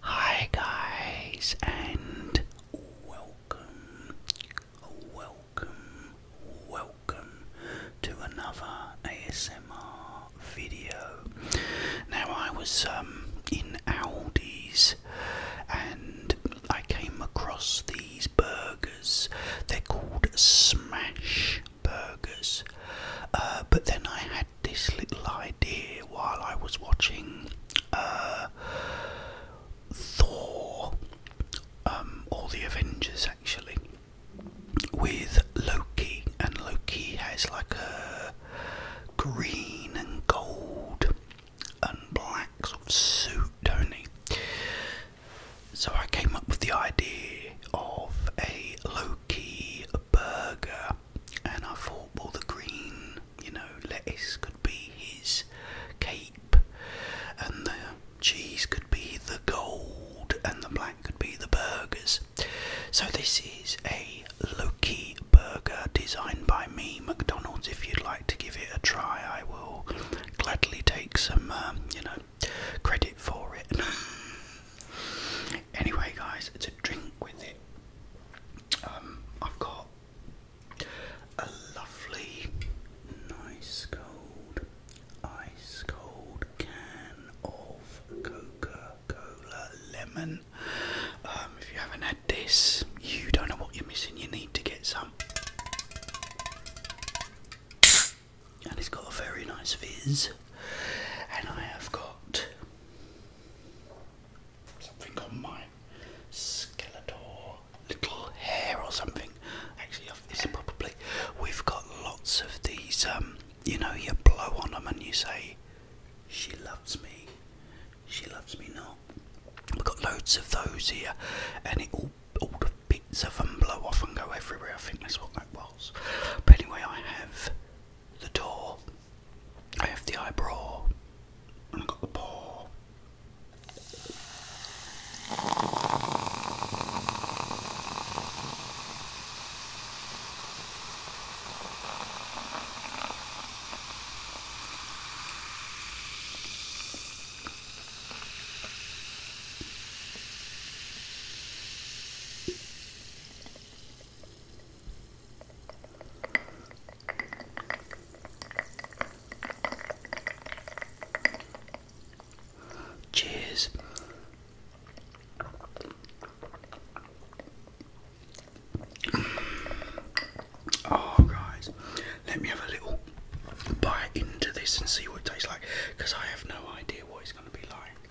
Hi guys and welcome, welcome, welcome to another ASMR video. Now I was um, in Aldi's and I came across these burgers. They're called Smash burgers. Uh, but then I had this little idea while I was watching uh, Thor um, the Avengers actually with Loki, and Loki has like a green and gold and black sort of suit, don't he? So I came up with the idea of a Loki burger, and I thought, well, the green, you know, lettuce could be his cape, and the cheese could be the gold, and the black could be the burgers. So, this is a Loki burger designed by me, McDonald's. If you'd like to give it a try, I will gladly take some, um, you know, credit for it. Anyway, guys, it's a drink with it. Um, I've got a lovely, nice cold, ice cold can of Coca Cola lemon. Um, if you haven't had this, you don't know what you're missing. You need to get some and it's got a very nice vis. And I have got something on my Skeletor little hair or something. Actually, this is probably. We've got lots of these. Um, you know, you blow on them and you say, "She loves me, she loves me not." We've got loads of those here, and it all all the bits of them blow off and go everywhere. I think that's what that was. But anyway, I have the door. I have the eyebrow, I've got the paw. Cheers. Oh, guys, let me have a little bite into this and see what it tastes like because I have no idea what it's going to be like.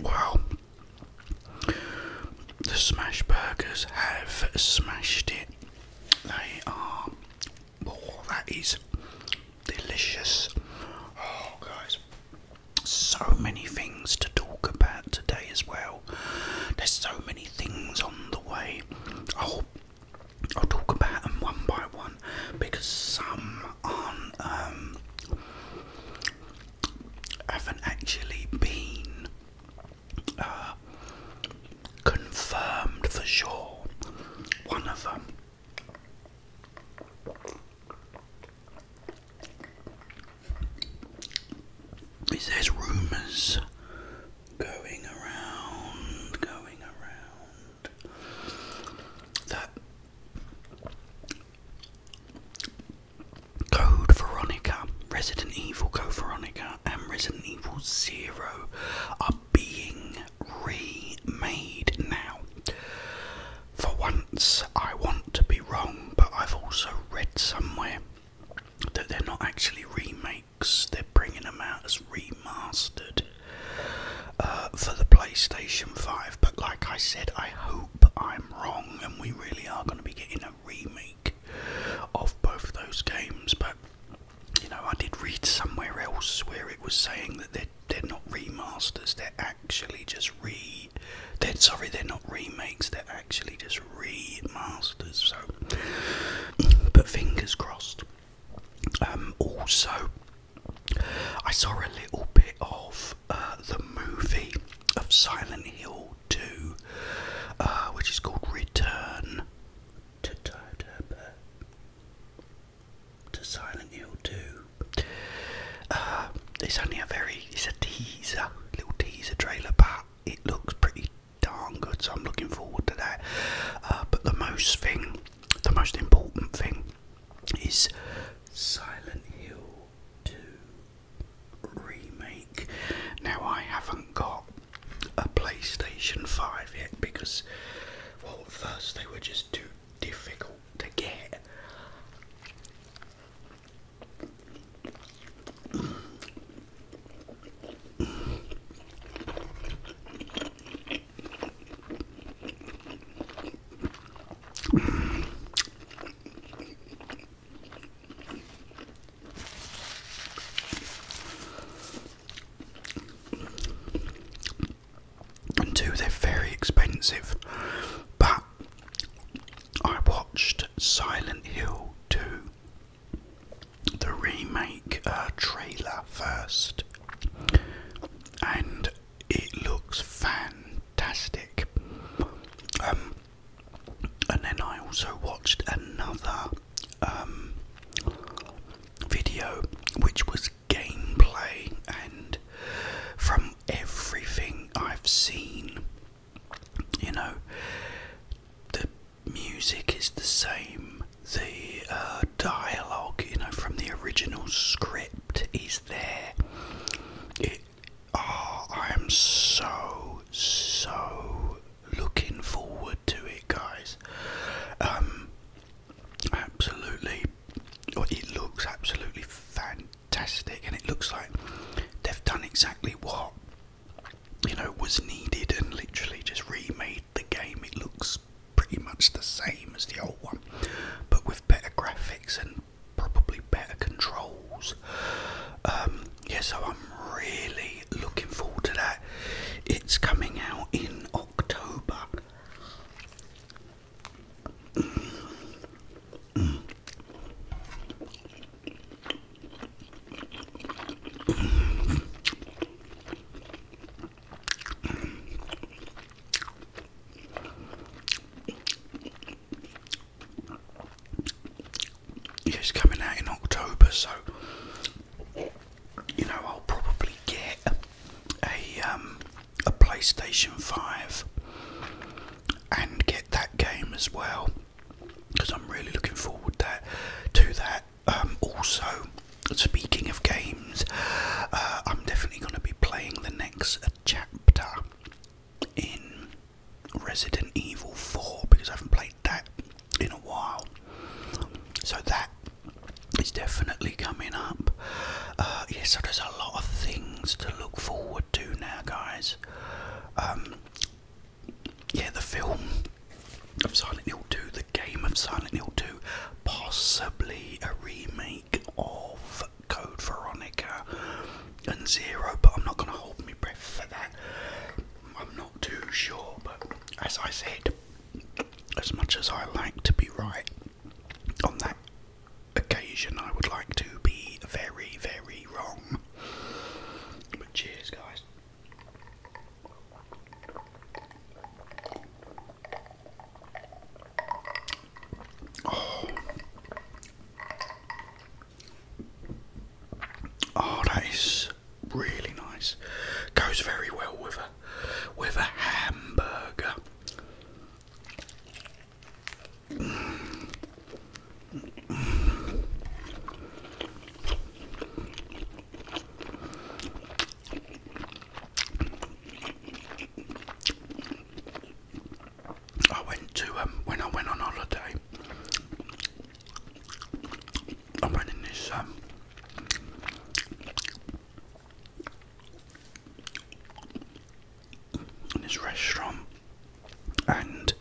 Wow. The smash burgers have smashed it. They are. Oh, that is delicious. Oh, guys. So many things to talk about today as well. There's so many things on the way. Oh, I'll talk about them one by one because some aren't, um, haven't actually been uh, confirmed for sure. One of them. Is there's rumours going around, going around that Code Veronica, Resident Evil Code Veronica, and Resident Evil Zero are being remade now. For once, I want to be wrong, but I've also read somewhere that they're not actually remade. They're bringing them out as remastered uh, for the PlayStation 5. But like I said, I hope I'm wrong and we really are going to be getting a remake of both those games. But you know, I did read somewhere else where it was saying that they're, they're not remasters, they're actually just re. They're, sorry, they're not remakes, they're actually just remasters. So, but fingers crossed. Um, also, I saw a little bit of uh, the movie of Silent Hill 2, uh, which is called Return to Silent Hill 2. Uh, it's only a very, it's a teaser, little teaser trailer, but it looks pretty darn good, so I'm looking forward to that. but the most thing the most important thing is Silent Hill 2 Remake. Now, I haven't got a PlayStation 5 yet because, well, first they were just too difficult to get. And two, they're very expensive. But I watched Silent Hill 2 the remake uh, trailer first, and it looks fantastic. Um, and then I also watched another um, video which was gameplay, and from everything I've seen, you know, music is the same. The uh, dialogue, you know, from the original script is there. It, ah, I am so, so looking forward to it, guys. Um, absolutely, it looks absolutely fantastic, and it looks like they've done exactly what you know was needed and literally just remade the game, it looks pretty much the same as the old one, but with better graphics and probably better controls. Um, yeah, so I'm really looking forward to that. It's coming out in October. It's coming out in October, so you know I'll probably get a um, a PlayStation Five and get that game as well because I'm really looking forward to that. Um, also, speaking of games, uh, I'm definitely going to be playing the next chapter in Resident Evil 4 because I haven't played that in a while. So that is definitely coming up. Uh, yes, so there's a lot of things to look forward to now, guys. Um, yeah, the film of Silent Hill 2, the game of Silent Hill 2, possibly a remake of Code Veronica and Zero, but I'm not going to hold my breath for that. I'm not too sure, but as I said, as much as I like to be right on that occasion, I would like to be very, very wrong. But cheers, guys. Oh. oh. that is really nice. Goes very well with a with a hamburger. I went to um when I went on holiday. I went in this um in this restaurant and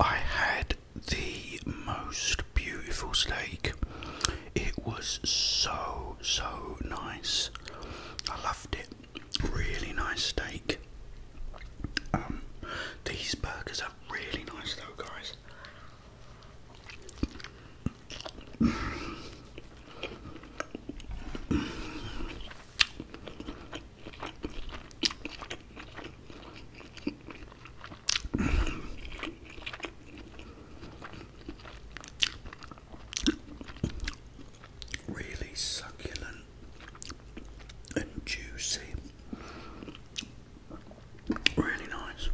I had the most beautiful steak. It was so, so nice. I loved it. Really nice steak. Um, these burgers are really nice though, guys. Really succulent and juicy. Really nice.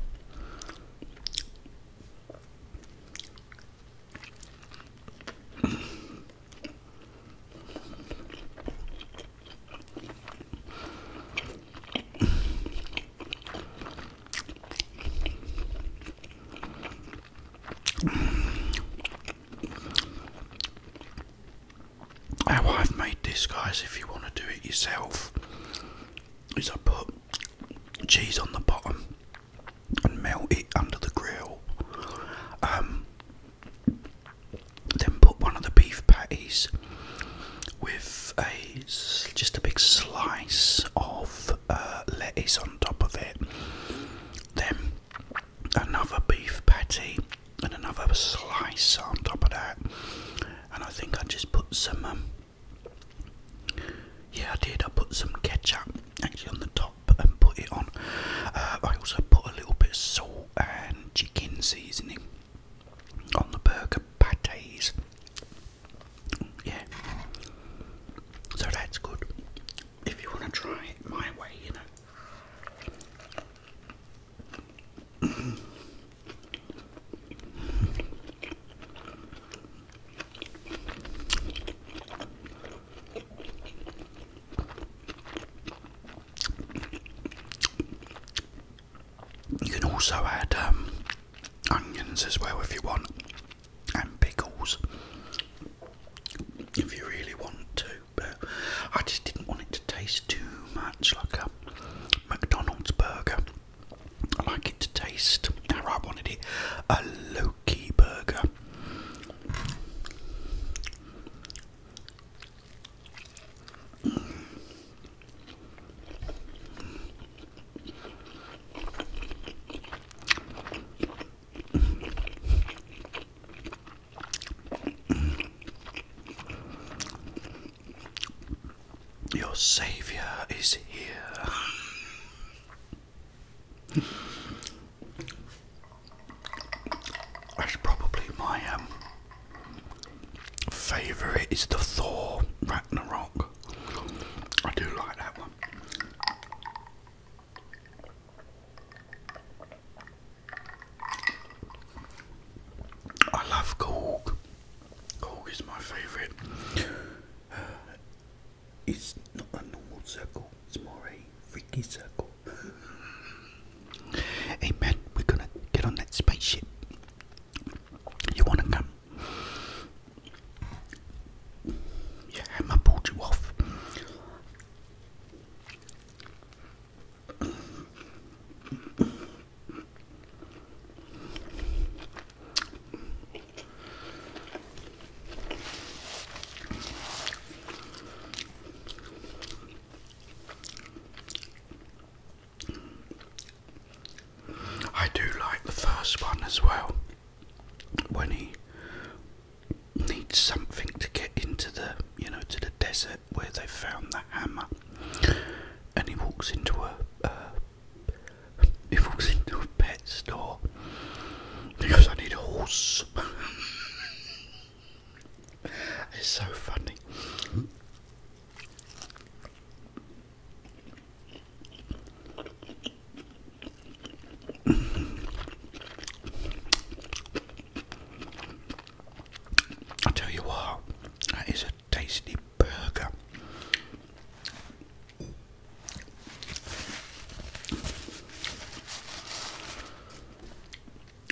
How I've made this, guys, if you want to do it yourself, is I put cheese on the bottom and melt it under the grill. Um, then put one of the beef patties with a just a big slice of uh, lettuce on top of it. Then another beef patty and another slice on top of that. And I think I just put some. Um, yeah, I did. I put some ketchup actually on the top and put it on. Uh, I also put a little bit of salt and chicken seasoning on the burger patties. Yeah. So that's good. If you want to try my way, you know. You can also add um, onions as well if you want, and pickles if you really want to. But I just didn't want it to taste too much like a McDonald's burger. I like it to taste Now I wanted it a Loki burger. Your Saviour is here. That's probably my um favourite is the Thor Ragnarok. I do like that one. I love Gorg. Gorg is my favourite. Uh, it's not a normal circle, it's more a freaky circle. Hey we're gonna get on that spaceship. You wanna come? Yeah, Hammer pulled you off. I do like the first one as well when he needs something to get into the you know to the desert where they found the hammer and he walks into a he walks into a pet store because I need a horse It's so funny. I tell you what, that is a tasty burger.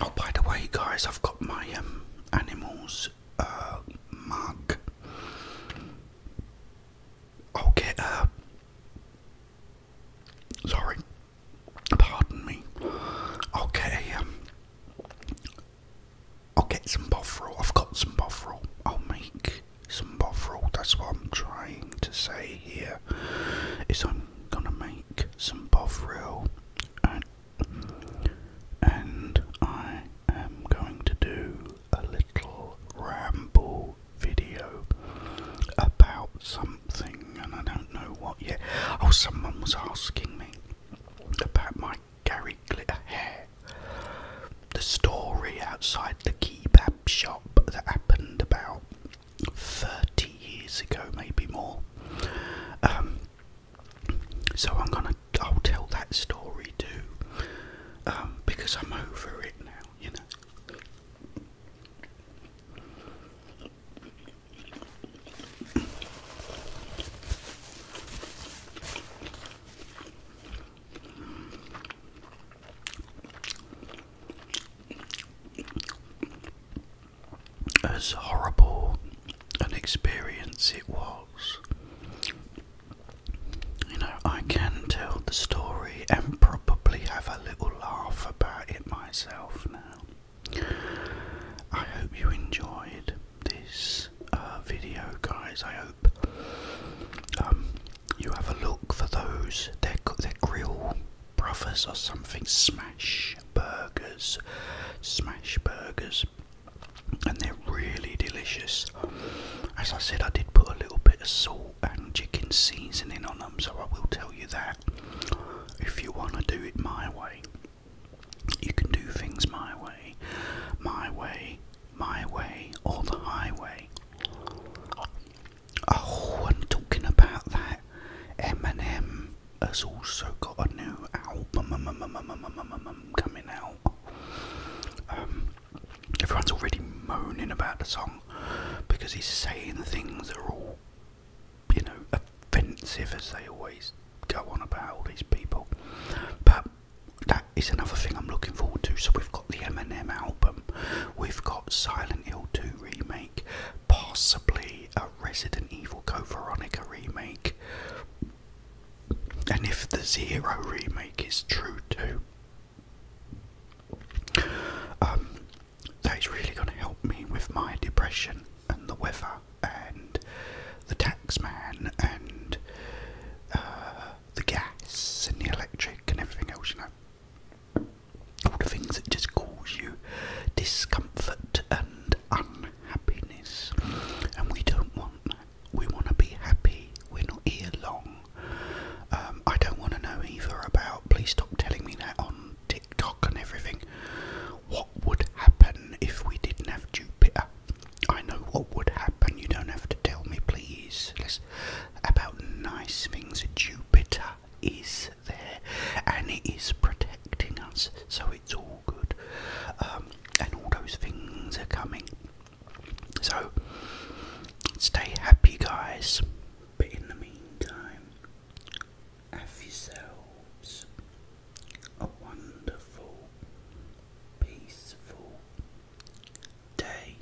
Oh, by the way, guys, I've got my um, animals uh, mug. Okay. will uh, Sorry, pardon me. I'll get um, I'll get some bovril. I've got some bovril. I'll make some bovril. That's what I'm trying to say here. Is I'm gonna make some bovril and, I am going to do a little ramble video about something, and I don't know what yet. Oh, someone was asking me about my Gary Glitter hair. The story outside the kebab shop that happened about 30 years ago, maybe more. Um, so I'm gonna, I'll tell that story too, um, because I'm over it now, you know as horrible an experience it was. You know, I can tell the story and probably have a little laugh about it myself now. I hope you enjoyed this uh, video, guys. I hope um, you have a look for those. They're, they're grill brothers or something, smash burgers, smash burgers, and they're really delicious. As I said, I did put a little bit of salt and chicken seasoning on them, so I will tell you that. If you want to do it my way, you can do things my way, my way, my way, or the highway. Oh, I'm talking about that M&M has also got a new album um, um, um, coming out. everyone's already moaning about the song because he's saying things are all, you know, offensive as they always go on about all these people. But that is another thing I'm looking forward to. So we've got the Eminem album, we've got Silent Hill 2 remake possibly a Resident Evil Co Veronica remake. And if the Zero remake is true too, um, that is really going to help me with my depression and the weather and the taxman and uh, the gas and the electric and everything else, you know all the things that just cause you discomfort and unhappiness. And we don't want We want to be happy. We're not here long. Um, I don't want to know either about, please stop telling me that on TikTok and everything. What would happen if we didn't have Jupiter? I know what would happen. You don't have to tell me, please. about nice things. Jupiter is there and it is protecting us, so it's all good. Um, and all those things are coming. So stay happy, guys. But in the meantime, have yourselves a wonderful, peaceful day.